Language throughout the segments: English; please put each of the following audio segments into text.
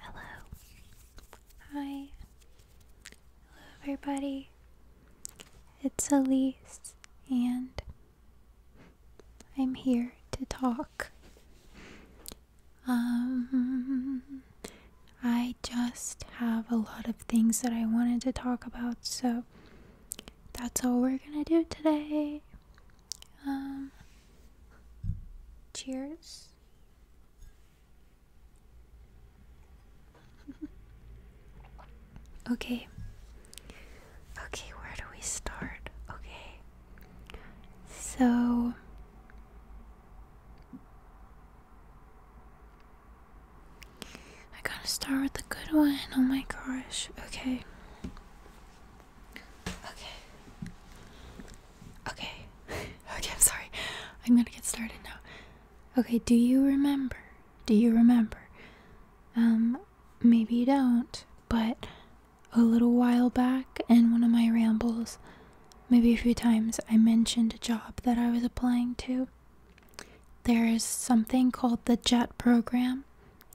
Hello. Hi. Hello, everybody. It's Elise, and I'm here to talk. Um, I just have a lot of things that I wanted to talk about, so that's all we're gonna do today. Um, cheers. okay. Okay, where do we start? Okay. So I gotta start with the good one. Oh my gosh. Okay. Okay. Okay. okay, I'm sorry. I'm gonna get started now. Okay, do you remember? Do you remember? Um, maybe you don't, but a little while back in one of my rambles, maybe a few times, I mentioned a job that I was applying to. There is something called the JET program,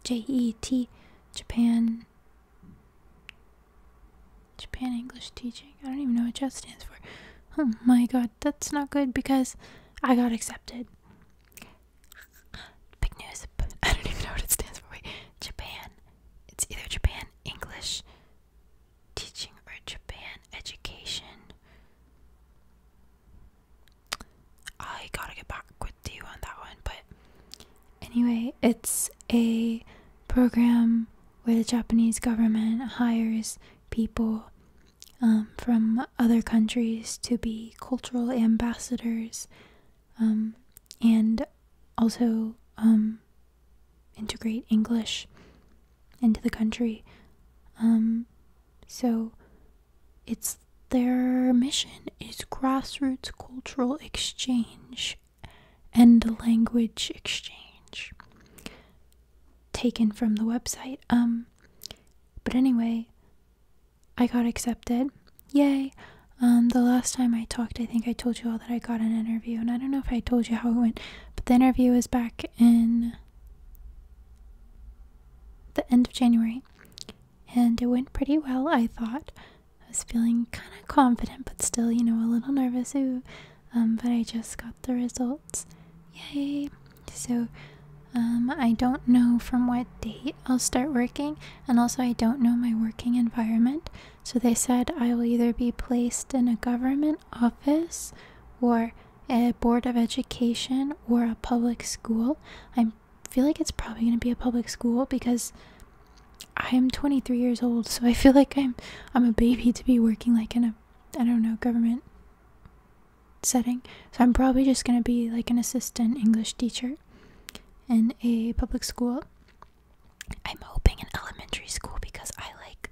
J E T, Japan Japan English teaching. I don't even know what JET stands for. Oh my god, that's not good because I got accepted. Big news, I don't even know what it stands for. Japan. It's either Japan English teaching or Japan education. I gotta get back with you on that one, but Anyway, it's a program where the Japanese government hires people um, from other countries to be cultural ambassadors um, and also um, integrate English into the country. Um, so it's their mission is grassroots cultural exchange and language exchange taken from the website. Um but anyway, I got accepted. Yay. Um the last time I talked, I think I told you all that I got an interview and I don't know if I told you how it went, but the interview was back in the end of January and it went pretty well, I thought. I was feeling kind of confident, but still, you know, a little nervous. Um, but I just got the results. Yay! So, um, I don't know from what date I'll start working, and also I don't know my working environment. So they said I will either be placed in a government office, or a board of education, or a public school. I feel like it's probably going to be a public school because I am 23 years old, so I feel like I'm I'm a baby to be working like in a I don't know government setting. So I'm probably just gonna be like an assistant English teacher in a public school. I'm hoping an elementary school because I like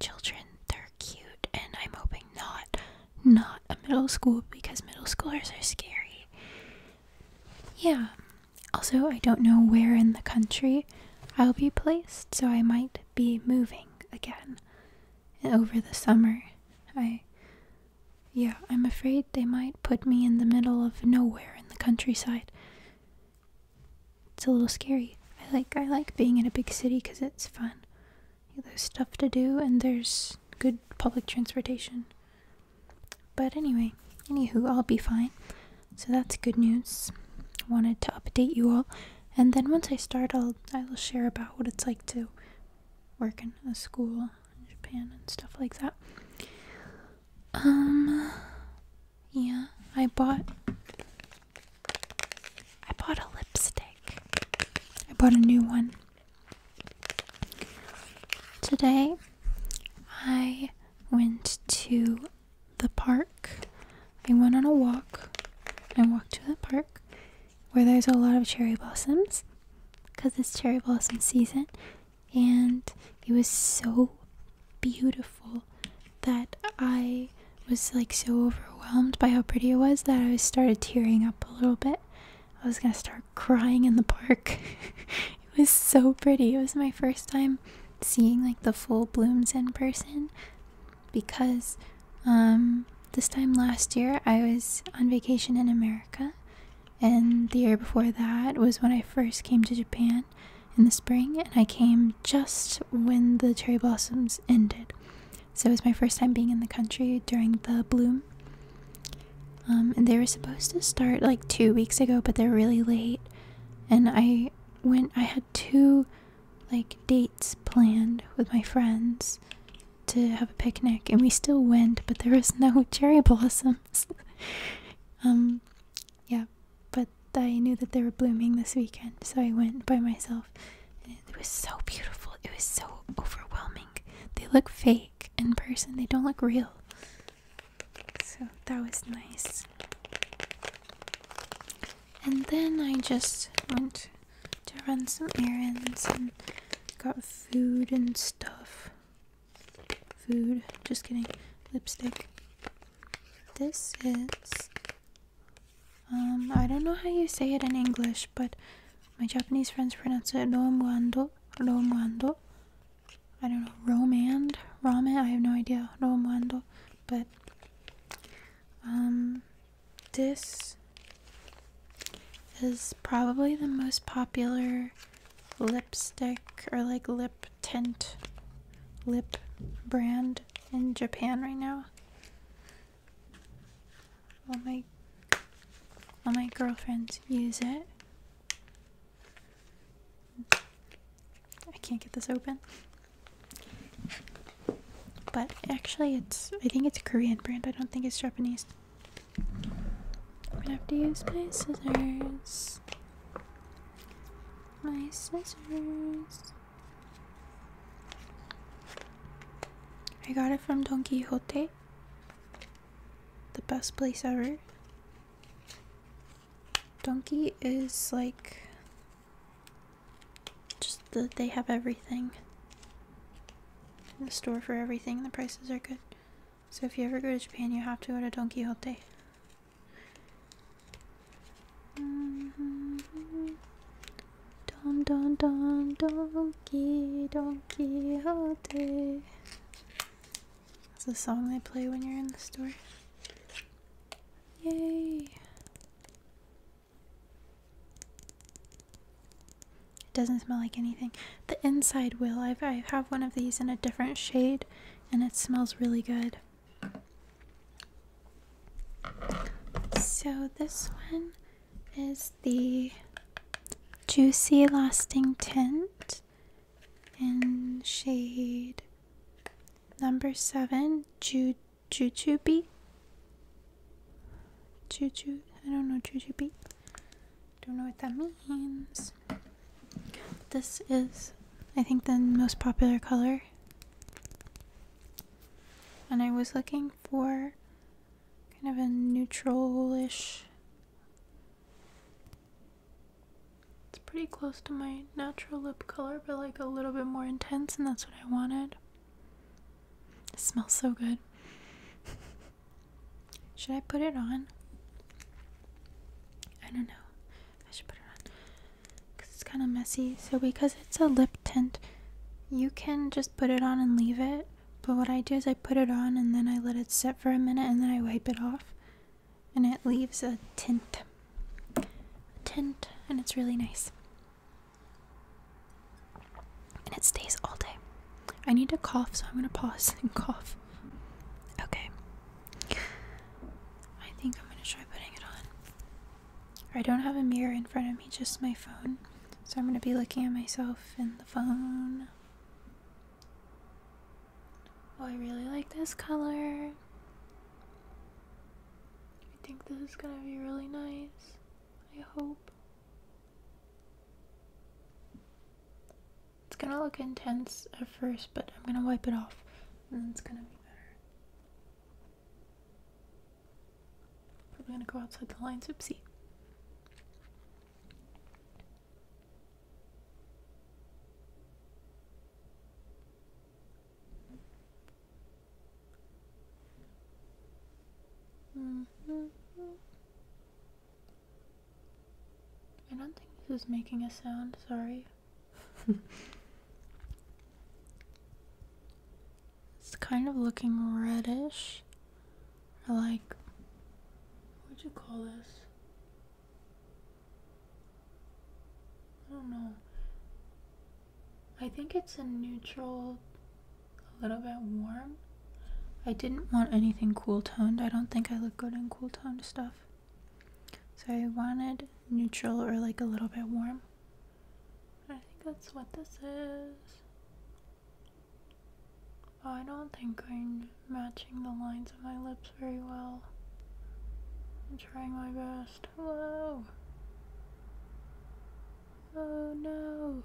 children. They're cute, and I'm hoping not not a middle school because middle schoolers are scary. Yeah, also, I don't know where in the country I'll be placed, so I might be moving again And over the summer. I. Yeah, I'm afraid they might put me in the middle of nowhere in the countryside. It's a little scary. I like I like being in a big city cuz it's fun. There's stuff to do and there's good public transportation. But anyway, anywho, I'll be fine. So that's good news. Wanted to update you all. And then once I start, I'll I will share about what it's like to work in a school in Japan and stuff like that. Um, yeah, I bought I bought a lipstick. I bought a new one today. I went to the park. I went on a walk. and walked to the park where there's a lot of cherry blossoms because it's cherry blossom season. And it was so beautiful that I was like so overwhelmed by how pretty it was that I started tearing up a little bit. I was gonna start crying in the park. It was so pretty. It was my first time seeing like the full blooms in person because um this time last year I was on vacation in America and the year before that was when I first came to Japan in the spring and I came just when the cherry blossoms ended. So it was my first time being in the country during the bloom. Um, and they were supposed to start like two weeks ago, but they're really late. And I when I had two like dates planned with my friends to have a picnic and we still went but there was no cherry blossoms. um yeah, but I knew that they were blooming this weekend, so I went by myself. it was so beautiful. It was so overwhelming. They look fake in person. They don't look real. So that was nice. And then I just went to run some errands and got food and stuff. Food, just kidding, lipstick. This is. Um, I don't know how you say it in English, but my Japanese friends pronounce it Romuando, Romuando, I don't know, Romand, Ramen, I have no idea, Romando, but um, this is probably the most popular lipstick or like lip tint lip brand in Japan right now. All my all my girlfriends use it. I can't get this open. But actually, it's I think it's a Korean brand. I don't think it's Japanese. I'm gonna have to use my scissors. My scissors. I got it from Don Quixote. The best place ever. Donkey is like just that they have everything in the store for everything. The prices are good. So if you ever go to Japan, you have to go to Don Quixote. Don Don Don Donkey Don Quixote. It's the song they play when you're in the store. Yay! It doesn't smell like anything. The inside will. I've, I have one of these in a different shade and it smells really good. So this one is the Juicy Lasting Tint in shade Number seven, ju jujube. Juju, I don't know jujube. Don't know what that means. This is, I think, the most popular color. And I was looking for kind of a neutralish. It's pretty close to my natural lip color, but like a little bit more intense, and that's what I wanted. It smells so good. should I put it on? I don't know. I should put it on. Because it's kind of messy. So, because it's a lip tint, you can just put it on and leave it. But what I do is I put it on and then I let it sit for a minute and then I wipe it off and it leaves a tint. tint, and it's really nice. And it stays all day. I need to cough, so I'm gonna pause and cough. Okay. I think I'm gonna try putting it on. I don't have a mirror in front of me, just my phone. So I'm gonna be looking at myself in the phone. Oh, I really like this color. I think this is gonna be really nice. I hope. It's gonna look intense at first, but I'm gonna wipe it off and it's gonna be better. Probably gonna go outside the lines. Oopsie. Mm-hmm. I don't think this is making a sound, sorry. it's kind of looking reddish. like, what'd you call this? I don't know. I think it's a neutral, a little bit warm. I didn't want anything cool toned. I don't think I look good in cool toned stuff. So I wanted neutral or like a little bit warm. I think that's what this is. I don't think I'm matching the lines of my lips very well. I'm trying my best. Whoa! Oh no!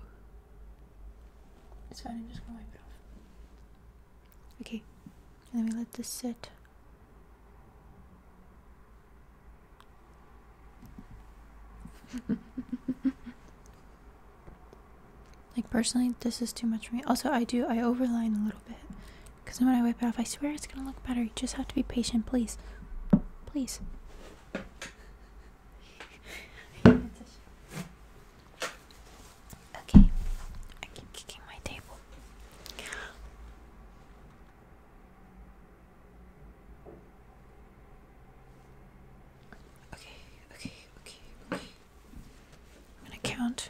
It's fine, I'm just gonna wipe it off. Okay, Let me let this sit. like personally this is too much for me also i do i overline a little little Because when I wipe it off, I swear it's gonna look better. You just have to be patient, please. Please. Okay, I keep kicking my table. Okay, okay, okay, okay. I'm gonna count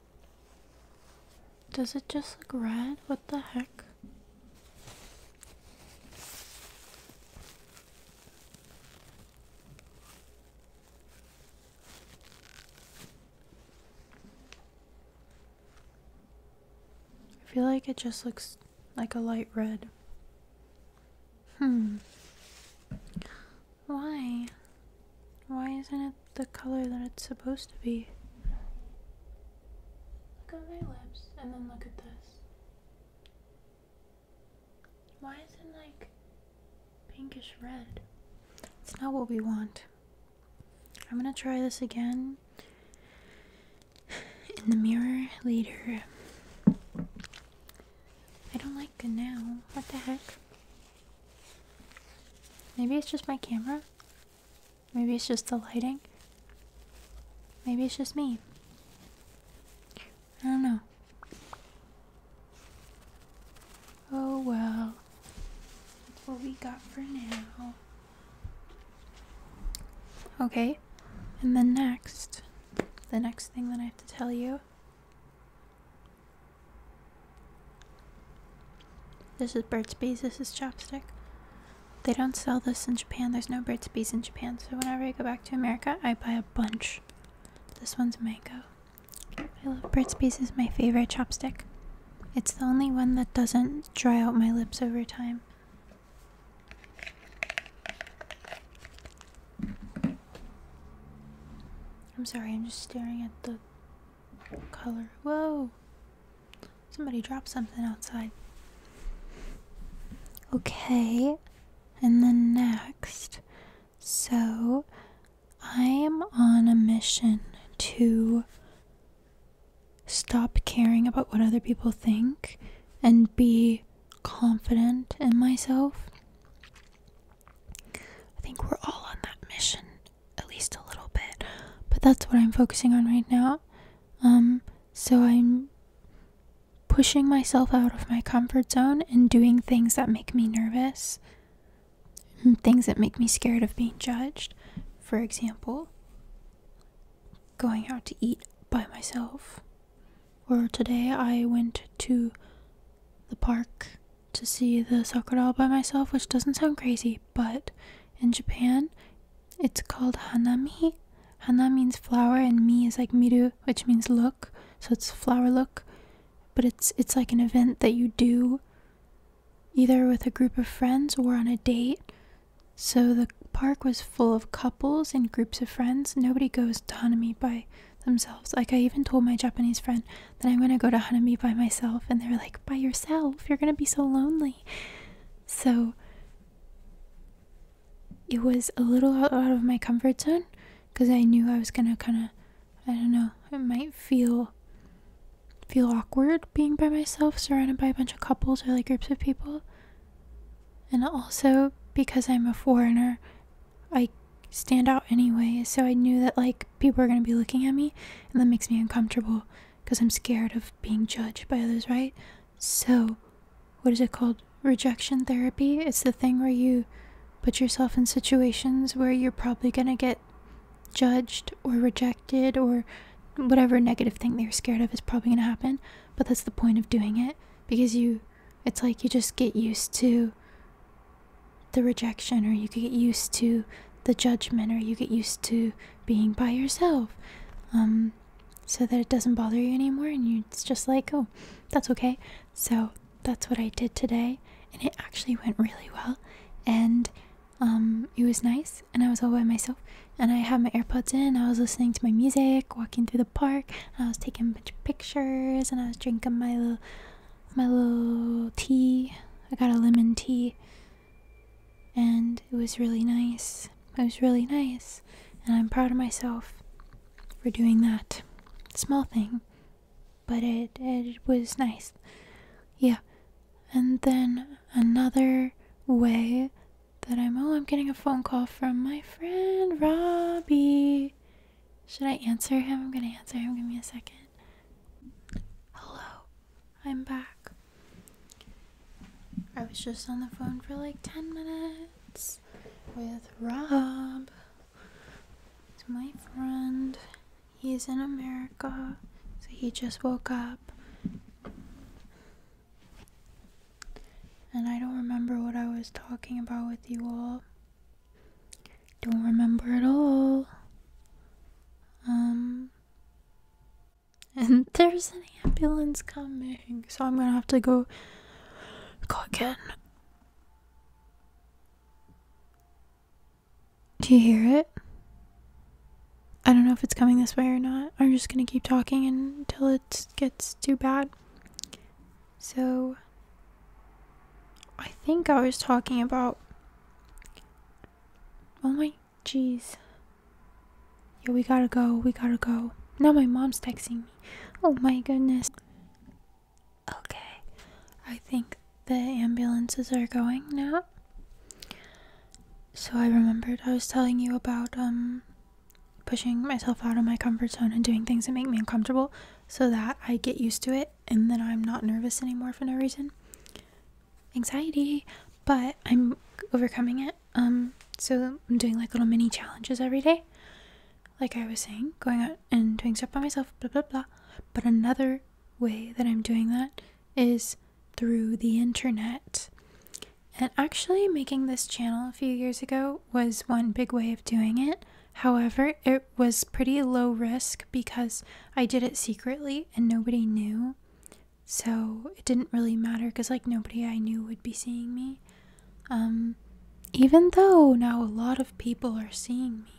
Does it just look red? What the heck? I feel like it just looks like a light red. Hmm. Why? Why isn't it the color that it's supposed to be. Look at my lips and then look at this. Why is it like pinkish red? It's not what we want. I'm gonna try this again in the mirror later. I don't like the now. What the heck? Maybe it's just my camera? Maybe it's just the lighting. Maybe it's just me. I don't know. Oh well. That's what we got for now. Okay. And then next, the next thing that I have to tell you this is Burt's Bees, this is Chopstick. They don't sell this in Japan, there's no Burt's Bees in Japan, so whenever I go back to America, I buy a bunch. This one's mango. I love Burt's Bees, is my favorite chopstick. It's the only one that doesn't dry out my lips over time. I'm sorry, I'm just staring at the color. Whoa! Somebody dropped something outside. Okay, and the next, so I am on a mission to stop caring about what other people think and be confident in myself. I think we're all on that mission at least a little bit. But that's what I'm focusing on right now. Um, so I'm pushing myself out of my comfort zone and doing things that make me nervous, things that make me scared of being judged. For example, going out to eat by myself. Or today I went to the park to see the soccer doll by myself, which doesn't sound crazy, but in Japan, it's called hanami. Hanami means flower, and mi is like miru, which means look. So it's flower look, but it's it's like an event that you do either with a group of friends or on a date. So the park was full of couples and groups of friends. Nobody goes to hanami by themselves. Like I even told my Japanese friend that I'm gonna go to hanami by myself, and they are like, "By yourself? You're gonna be so lonely." So it was a little out of my comfort zone because I knew I was gonna kind of, I don't know, it might feel feel awkward being by myself surrounded by a bunch of couples or like groups of people. And also because I'm a foreigner, I stand out anyway, so I knew that like people are gonna be looking at me and that makes me uncomfortable because I'm scared of being judged by others, right? So, what is it called? Rejection therapy? It's the thing where you put yourself in situations where you're probably going to get judged or rejected or whatever negative thing they are scared of is probably going to happen. But that's the point of doing it because you, it's like you just get used to the rejection or you get used to the judgment or you get used to being by yourself um, so that it doesn't bother you anymore and it's just like oh that's okay so that's what i did today and it actually went really well and um, it was nice and i was all by myself and i had my airpods in i was listening to my music walking through the park and i was taking a bunch of pictures and i was drinking my little my little tea i got a lemon tea and it was really nice. It was really nice, and I'm proud of myself for doing that small thing, but it it was nice. Yeah. And then another way that I'm oh, I'm getting a phone call from my friend Robbie. Should I answer him? I'm gonna answer him. Give me a second. Hello. I'm back. I was just on the phone for like 10 minutes with Rob. He's my friend. He's in America, so he just woke up. And I don't remember what I was talking about with you all. Don't remember at all. Um, and there's an ambulance coming, so I'm gonna have to go go again. Do you hear it? I don't know if it's coming this way or not. I'm just gonna keep talking until it gets too bad. So, I think I was talking about. Oh my Jeez. Yeah, we gotta go. We gotta go. Now my mom's texting me. Oh my goodness. Okay. I think the ambulances are going now. So I remembered I was telling you about um pushing myself out of my comfort zone and doing things that make me uncomfortable so that I get used to it and then I'm not nervous anymore for no reason anxiety, but I'm overcoming it. Um, so I'm doing like little mini challenges every day. Like I was saying, going out and doing stuff by myself, blah blah blah. But another way that I'm doing that is through the internet. And actually, making this channel a few years ago was one big way of doing it. However, it was pretty low risk because I did it secretly and nobody knew so it didn't really matter because like nobody i knew would be seeing me um, even though now a lot of people are seeing me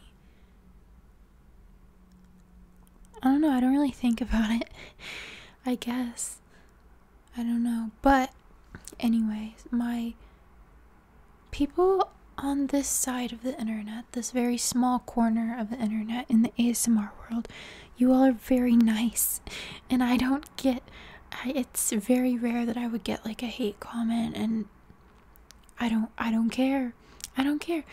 i don't know i don't really think about it i guess i don't know but anyways my people on this side of the internet this very small corner of the internet in the asmr world you all are very nice and i don't get it's very rare that i would get like a hate comment and i don't i don't care i don't care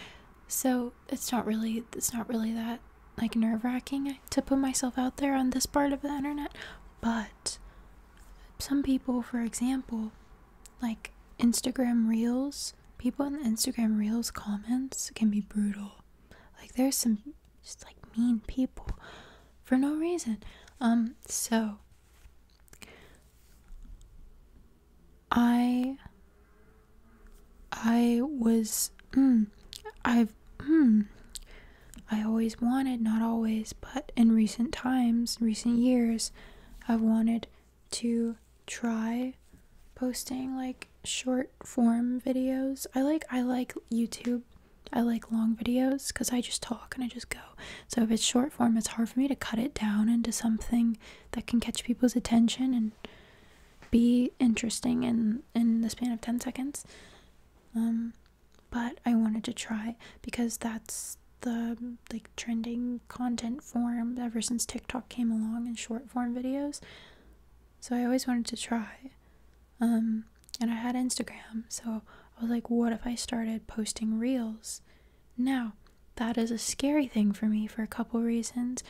so it's not really it's not really that like nerve-wracking to put myself out there on this part of the internet but some people for example like instagram reels people in instagram reels comments can be brutal like there's some just like mean people for no reason. Um so I I was mm, I've mm, I always wanted not always but in recent times, recent years I've wanted to try posting like short form videos. I like I like YouTube. I like long videos cuz I just talk and I just go. So if it's short form, it's hard for me to cut it down into something that can catch people's attention and be interesting in in the span of 10 seconds. Um but I wanted to try because that's the like trending content form ever since TikTok came along in short form videos. So I always wanted to try. Um, and I had Instagram, so I was like, what if I started posting reels? Now, that is a scary thing for me for a couple reasons.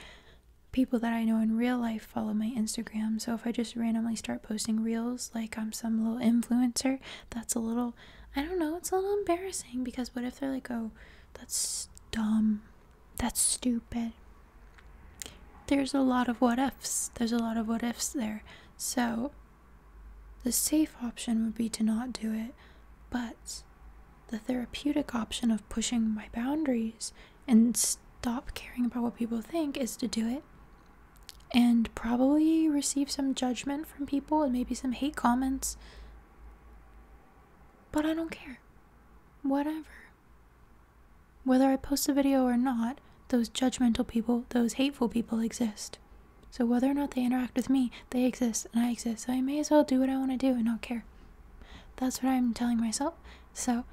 People that I know in real life follow my Instagram, so if I just randomly start posting reels like I'm some little influencer, that's a little, I don't know, it's a little embarrassing because what if they're like, oh, that's dumb. That's stupid. There's a lot of what ifs. There's a lot of what ifs there. So the safe option would be to not do it, but the therapeutic option of pushing my boundaries and stop caring about what people think is to do it and probably receive some judgment from people and maybe some hate comments. But I don't care. Whatever. Whether I post a video or not, those judgmental people, those hateful people exist. So whether or not they interact with me, they exist and I exist. So I may as well do what I want to do and not care. That's what I'm telling myself. So,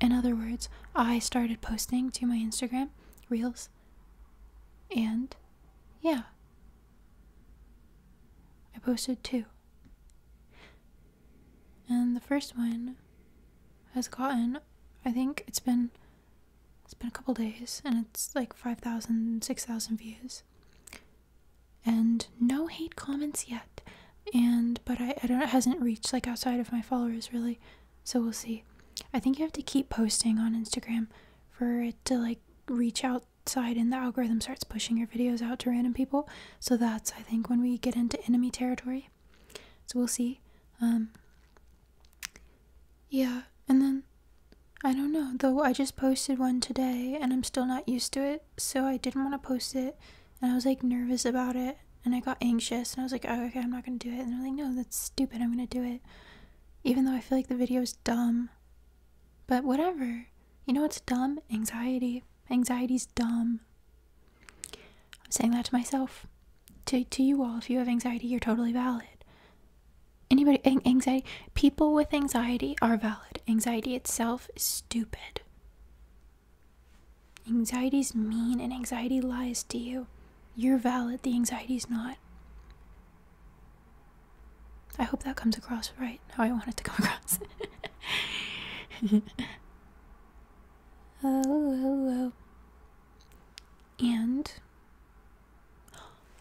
in other words, I started posting to my Instagram reels. And yeah, I posted two and the first one has gotten i think it's been it's been a couple days and it's like 5000 views and no hate comments yet and but I, I don't it hasn't reached like outside of my followers really so we'll see i think you have to keep posting on instagram for it to like reach outside and the algorithm starts pushing your videos out to random people so that's I think when we get into enemy territory. So we'll see. Um Yeah, and then I don't know, though I just posted one today and I'm still not used to it, so I didn't want to post it and I was like nervous about it and I got anxious and I was like, oh, okay, I'm not gonna do it. And I'm like, no, that's stupid, I'm gonna do it. Even though I feel like the video is dumb. But whatever. You know what's dumb? Anxiety. Anxiety's dumb. I'm saying that to myself. To, to you all, if you have anxiety, you're totally valid. Anybody, anxiety, people with anxiety are valid. Anxiety itself is stupid. Anxiety's mean and anxiety lies to you. You're valid, the anxiety's not. I hope that comes across right how I want it to come across. oh, oh, oh. And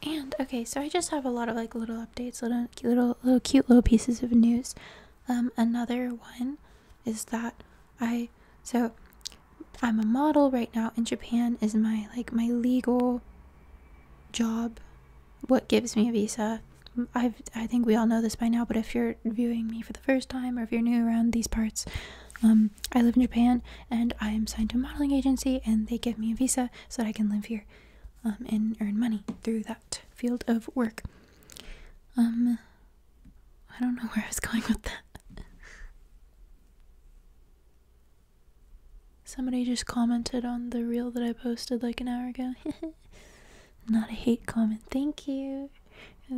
and okay, so I just have a lot of like little updates, little little little cute little pieces of news. Um, another one is that I so I'm a model right now in Japan is my like my legal job, what gives me a visa i I think we all know this by now, but if you're viewing me for the first time or if you're new around these parts, um, I live in Japan and I am signed to a modeling agency, and they give me a visa so that I can live here um, and earn money through that field of work. Um, I don't know where I was going with that. Somebody just commented on the reel that I posted like an hour ago. Not a hate comment. Thank you.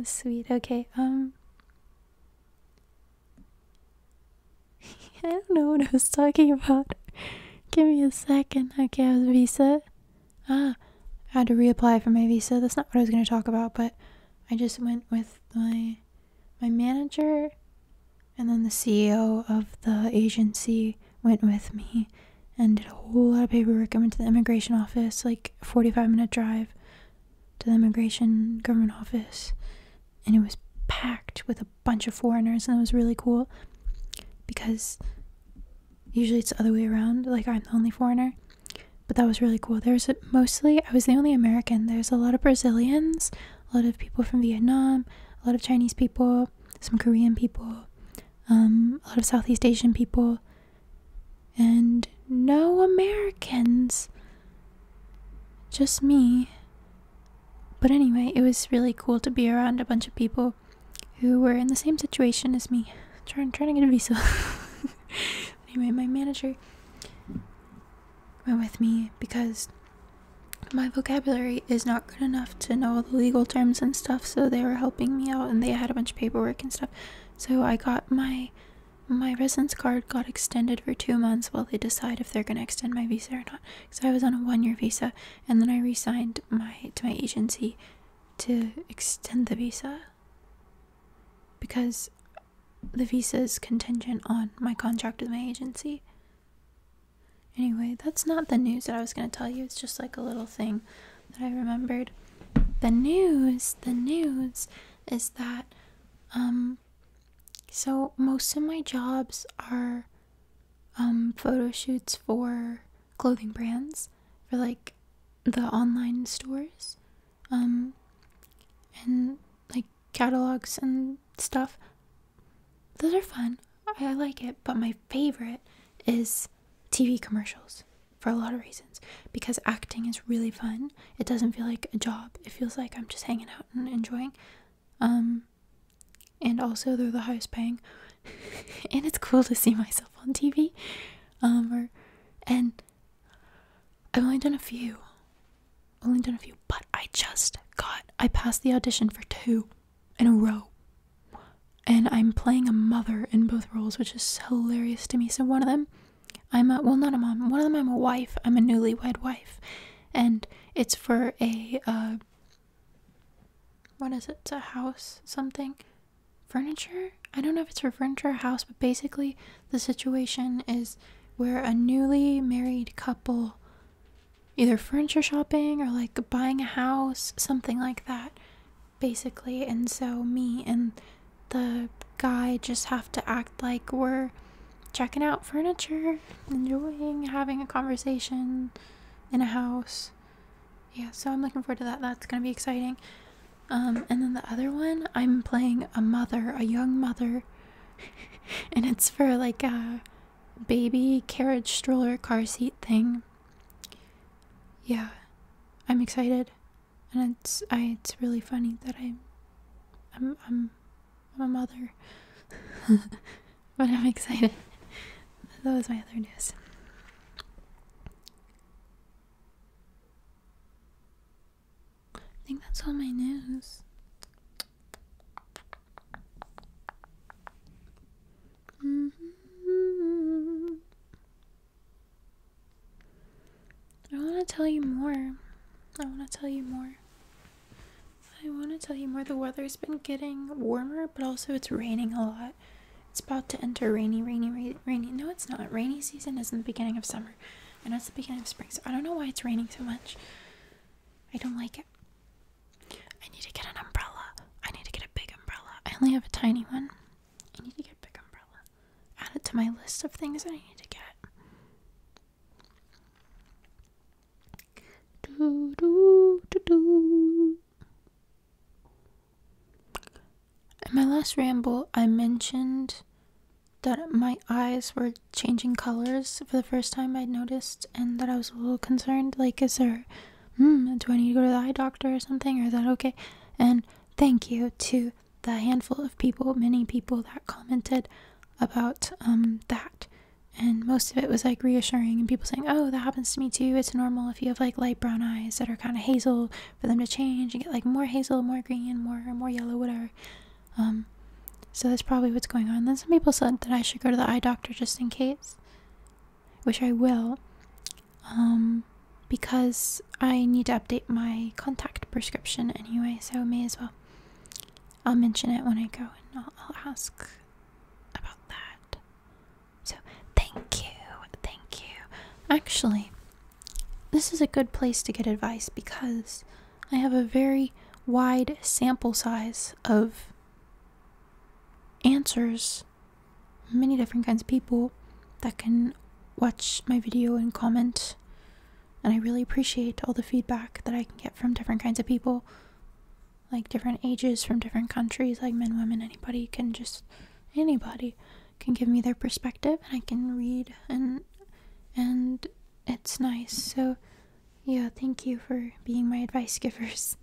sweet. Okay. Um. I don't know what I was talking about. Give me a second. Okay, I was visa. Ah, I had to reapply for my visa. That's not what I was going to talk about, but I just went with my my manager and then the CEO of the agency went with me and did a whole lot of paperwork. I went to the immigration office, like 45 minute drive to the immigration government office, and it was packed with a bunch of foreigners, and it was really cool because usually it's the other way around, like I'm the only foreigner. But that was really cool. There's mostly, I was the only American. There's a lot of Brazilians, a lot of people from Vietnam, a lot of Chinese people, some Korean people, um, a lot of Southeast Asian people, and no Americans. Just me. But anyway, it was really cool to be around a bunch of people who were in the same situation as me, trying trying to get a visa. anyway, my manager went with me because my vocabulary is not good enough to know all the legal terms and stuff, so they were helping me out and they had a bunch of paperwork and stuff. So I got my my residence card got extended for two months while they decide if they're gonna extend my visa or not. Because I was on a one-year visa, and then I resigned my to my agency to extend the visa because the visa is contingent on my contract with my agency. Anyway, that's not the news that I was gonna tell you. It's just like a little thing that I remembered. The news, the news is that, um, so most of my jobs are, um, photo shoots for clothing brands, for like the online stores, um, and like catalogs and stuff. Those are fun. I like it, but my favorite is TV commercials for a lot of reasons because acting is really fun. It doesn't feel like a job. It feels like I'm just hanging out and enjoying. Um, and also they're the highest paying. and it's cool to see myself on TV. Um, or and I've only done a few. Only done a few, but I just got I passed the audition for two in a row and I'm playing a mother in both roles, which is hilarious to me. So one of them, I'm a well, not a mom. One of them, I'm a wife. I'm a newlywed wife, and it's for a uh, what is it? a house something, furniture. I don't know if it's for furniture or house, but basically the situation is where a newly married couple either furniture shopping or like buying a house, something like that basically. And so, me and the guy just have to act like we're checking out furniture, enjoying having a conversation in a house. Yeah, so I'm looking forward to that. That's going to be exciting. Um, and then the other one, I'm playing a mother, a young mother, and it's for like a baby carriage stroller car seat thing yeah, I'm excited, and it's I it's really funny that I'm I'm I'm a mother, but I'm excited. that was my other news. I think that's all my news. Mm-hmm. I want to tell you more. I want to tell you more. I want to tell you more. The weather's been getting warmer, but also it's raining a lot. It's about to enter rainy, rainy, rainy. rainy. No, it's not. Rainy season is in the beginning of summer, and it's the beginning of spring. So I don't know why it's raining so much. I don't like it. I need to get an umbrella. I need to get a big umbrella. I only have a tiny one. I need to get big umbrella. Add it to my list of things I need to get. Do, In my last ramble, I mentioned that my eyes were changing colors for the first time I'd noticed, and that I was a little concerned. Like, is there Hmm, do I need to go to the eye doctor or something? Or is that okay? And thank you to the handful of people, many people that commented about um, that. And most of it was like reassuring and people saying, oh, that happens to me too. It's normal if you have like light brown eyes that are kind of hazel for them to change and get like more hazel, more green, more, more yellow, whatever. Um, so that's probably what's going on. Then some people said that I should go to the eye doctor just in case which I will, um, because I need to update my contact prescription anyway, so may as well. I'll mention it when I go and I'll, I'll ask about that. So, thank you, thank you. Actually, this is a good place to get advice because I have a very wide sample size of answers many different kinds of people that can watch my video and comment. And I really appreciate all the feedback that I can get from different kinds of people, like different ages from different countries, like men, women, anybody can just, anybody can give me their perspective and I can read and, and it's nice. So, yeah, thank you for being my advice givers.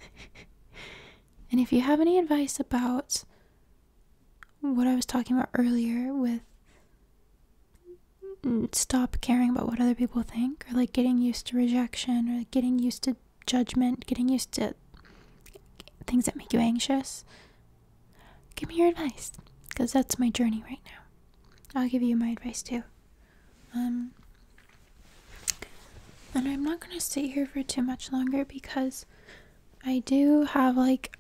and if you have any advice about what I was talking about earlier with stop caring about what other people think or like getting used to rejection or getting used to judgment, getting used to things that make you anxious. Give me your advice because that's my journey right now. I'll give you my advice too. Um, and I'm not going to stay here for too much longer because I do have like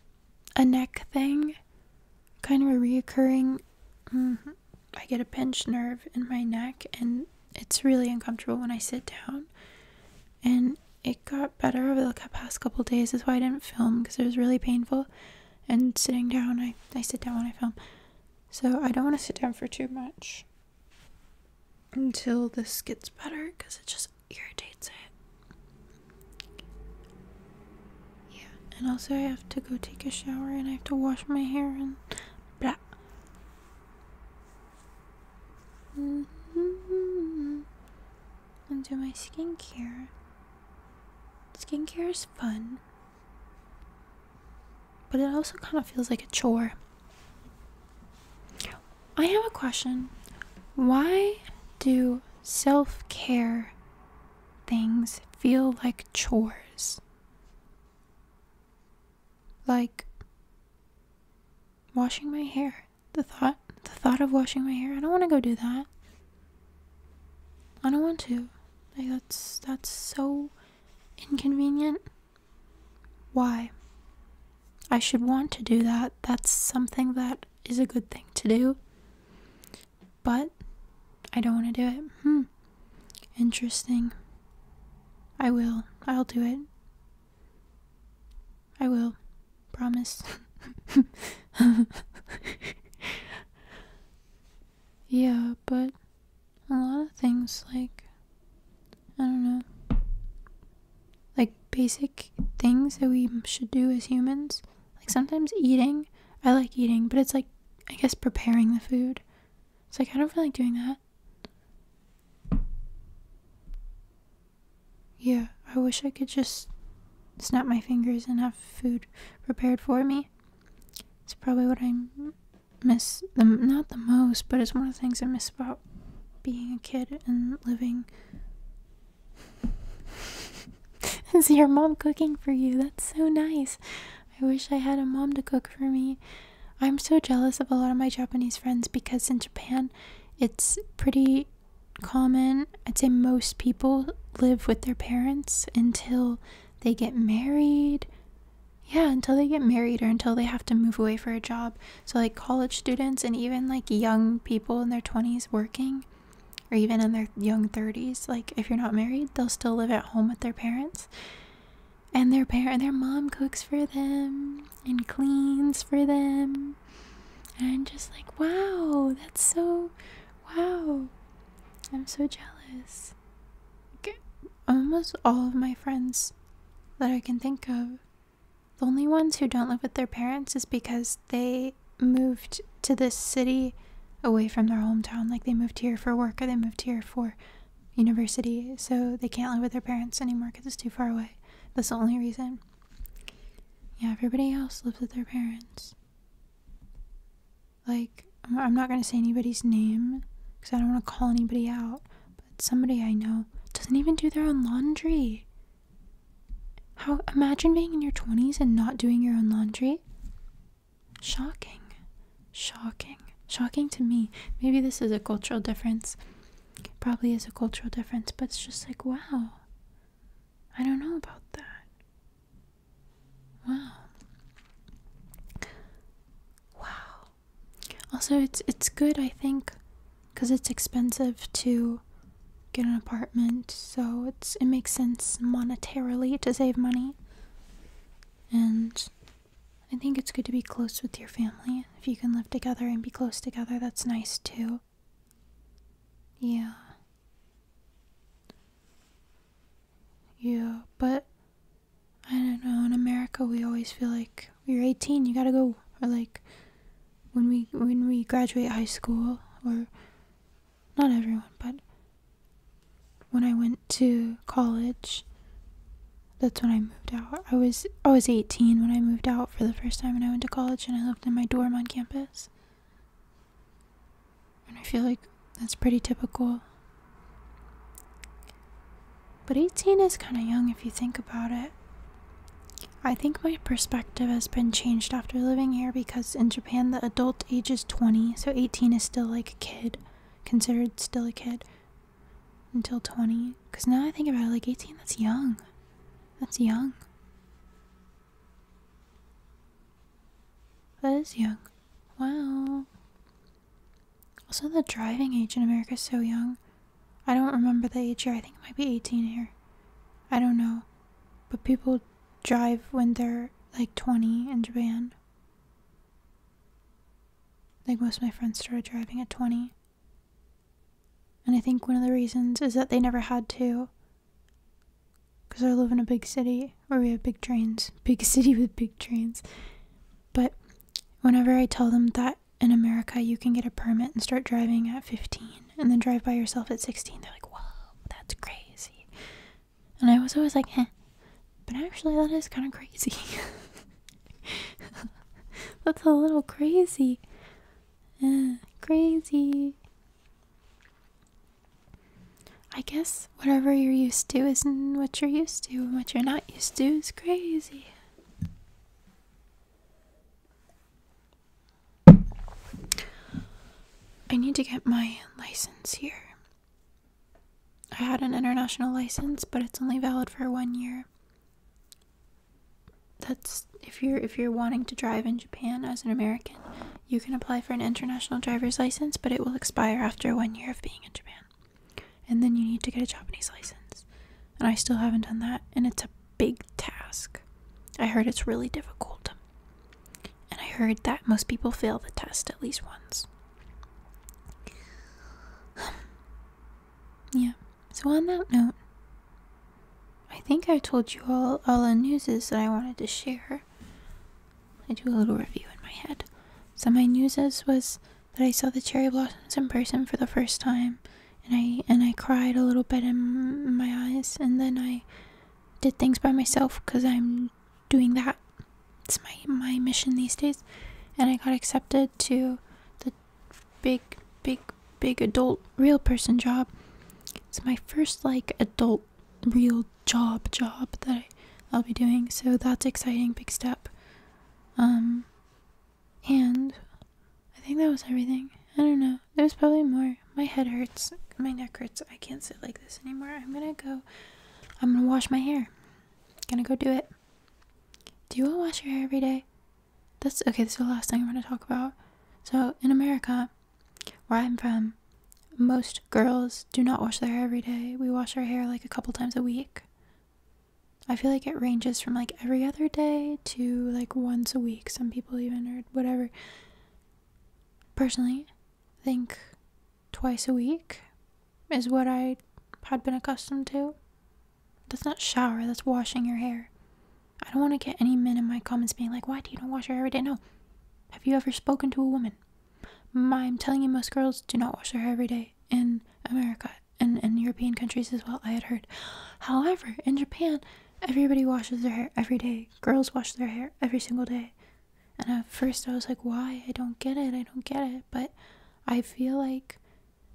a neck thing, kind of a reoccurring. Mm-hmm, I get a pinched nerve in my neck, and it's really uncomfortable when I sit down. And it got better over the past couple days. is why I didn't film because it was really painful. And sitting down, I, I sit down when I film. So I don't want to sit down for too much until this gets better because it just irritates it. Yeah, and also I have to go take a shower and I have to wash my hair and blah. Mm -hmm. And do my skincare. Skincare is fun, but it also kind of feels like a chore. I have a question. Why do self care things feel like chores? Like washing my hair. The thought the thought of washing my hair. I don't want to go do that. I don't want to. Like that's that's so inconvenient. Why? I should want to do that. That's something that is a good thing to do. But I don't want to do it. Hmm. Interesting. I will. I'll do it. I will. Promise. yeah, but a lot of things, like, I don't know like basic things that we should do as humans. Like sometimes eating, I like eating, but it's like, I guess, preparing the food. It's like, I don't feel like doing that. Yeah, I wish I could just snap my fingers and have food prepared for me. It's probably what I miss the not the most, but it's one of the things I miss about being a kid and living Is your mom cooking for you? That's so nice. I wish I had a mom to cook for me. I'm so jealous of a lot of my Japanese friends because in Japan, it's pretty common. I'd say most people live with their parents until they get married. Yeah, until they get married or until they have to move away for a job. So, like college students and even like young people in their 20s working, or even in their young 30s, like if you're not married, they'll still live at home with their parents. And their parent, their mom cooks for them and cleans for them. And just like, wow, that's so, wow. I'm so jealous. Almost all of my friends that I can think of the only ones who don't live with their parents is because they moved to this city away from their hometown. Like they moved here for work or they moved here for university. So they can't live with their parents anymore because it's too far away. That's the only reason. Yeah, everybody else lives with their parents. Like, I'm not going to say anybody's name because I don't want to call anybody out. But somebody I know doesn't even do their own laundry. How imagine being in your 20s and not doing your own laundry? Shocking. Shocking. Shocking to me. Maybe this is a cultural difference. Probably is a cultural difference, but it's just like, wow. I don't know about that. Wow. Wow. Also, it's it's good I think because it's expensive to get an apartment, so it's it makes sense monetarily to save money. And I think it's good to be close with your family. If you can live together and be close together, that's nice too. Yeah. Yeah, but I don't know. In America, we always feel like you're 18, you gotta go. Or like, when we when we graduate high school or not everyone but when I went to college that's when I moved out. I was I was 18 when I moved out for the first time and I went to college and I lived in my dorm on campus. And I feel like that's pretty typical. But 18 is kind of young if you think about it. I think my perspective has been changed after living here because in Japan the adult age is 20, so 18 is still like a kid, considered still a kid until 20. Because now I think about it, like 18, that's young. That's young. That is young. Wow. Also, the driving age in America is so young. I don't remember the age here. I think it might be 18 here. I don't know. But people drive when they're like 20 in Japan. I think most of my friends started driving at 20. And I think one of the reasons is that they never had to. Because I live in a big city where we have big trains. Big city with big trains. But whenever I tell them that in America, you can get a permit and start driving at 15 and then drive by yourself at 16. They're like, whoa, that's crazy. And I was always like, eh, but actually, that is kind of crazy. that's a little crazy. Uh, crazy. I guess whatever you're used to isn't what you're used to, and what you're not used to is crazy. I need to get my license here. I had an international license, but it's only valid for 1 year. That's if you're if you're wanting to drive in Japan as an American, you can apply for an international driver's license, but it will expire after 1 year of being in Japan. And then you need to get a Japanese license and I still haven't done that, and it's a big task. I heard it's really difficult, and I heard that most people fail the test at least once. yeah, so on that note, I think I told you all, all the newses that I wanted to share. I do a little review in my head. So my newses was that I saw the cherry blossoms in person for the first time and I and I cried a little bit in my eyes, and then I did things by myself because I'm doing that. It's my my mission these days, and I got accepted to the big big big adult real person job. It's my first like adult real job job that I, will be doing, so that's exciting big step. Um, and I think that was everything. I don't know there's probably more. My head hurts. My neck hurts. I can't sit like this anymore. I'm gonna go. I'm gonna wash my hair. Gonna go do it. Do you all wash your hair every day? That's okay. This is the last thing I'm gonna talk about. So in America, where I'm from, most girls do not wash their hair every day. We wash our hair like a couple times a week. I feel like it ranges from like every other day to like once a week some people even, or whatever. Personally, think twice a week is what I had been accustomed to. That's not shower, that's washing your hair. I don't want to get any men in my comments being like, why do you not wash your hair every day? No. Have you ever spoken to a woman? I'm telling you, most girls do not wash their hair every day in America and in European countries as well, I had heard. However, in Japan, Everybody washes their hair every day. Girls wash their hair every single day. And at first I was like, why? I don't get it. I don't get it. But I feel like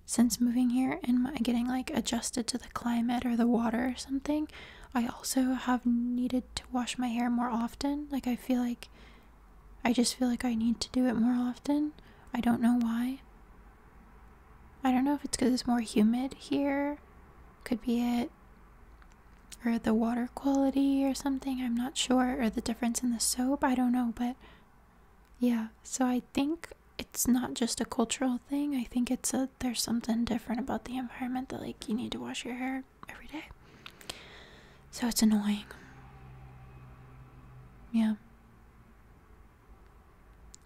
since moving here and getting like adjusted to the climate or the water or something, I also have needed to wash my hair more often. Like I feel like I just feel like I need to do it more often. I don't know why. I don't know if it's because it's more humid here could be it. Or the water quality or something, I'm not sure. Or the difference in the soap, I don't know. But yeah, so I think it's not just a cultural thing. I think it's a there's something different about the environment that, like, you need to wash your hair every day. So it's annoying. Yeah.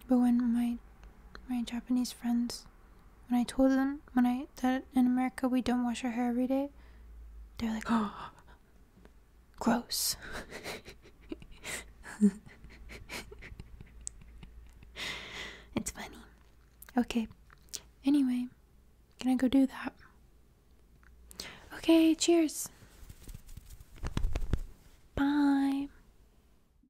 But when my my Japanese friends, when I told them when I that in America we don't wash our hair every day, they're like, gross. it's funny. Okay. Anyway, can I go do that? Okay, cheers. Bye.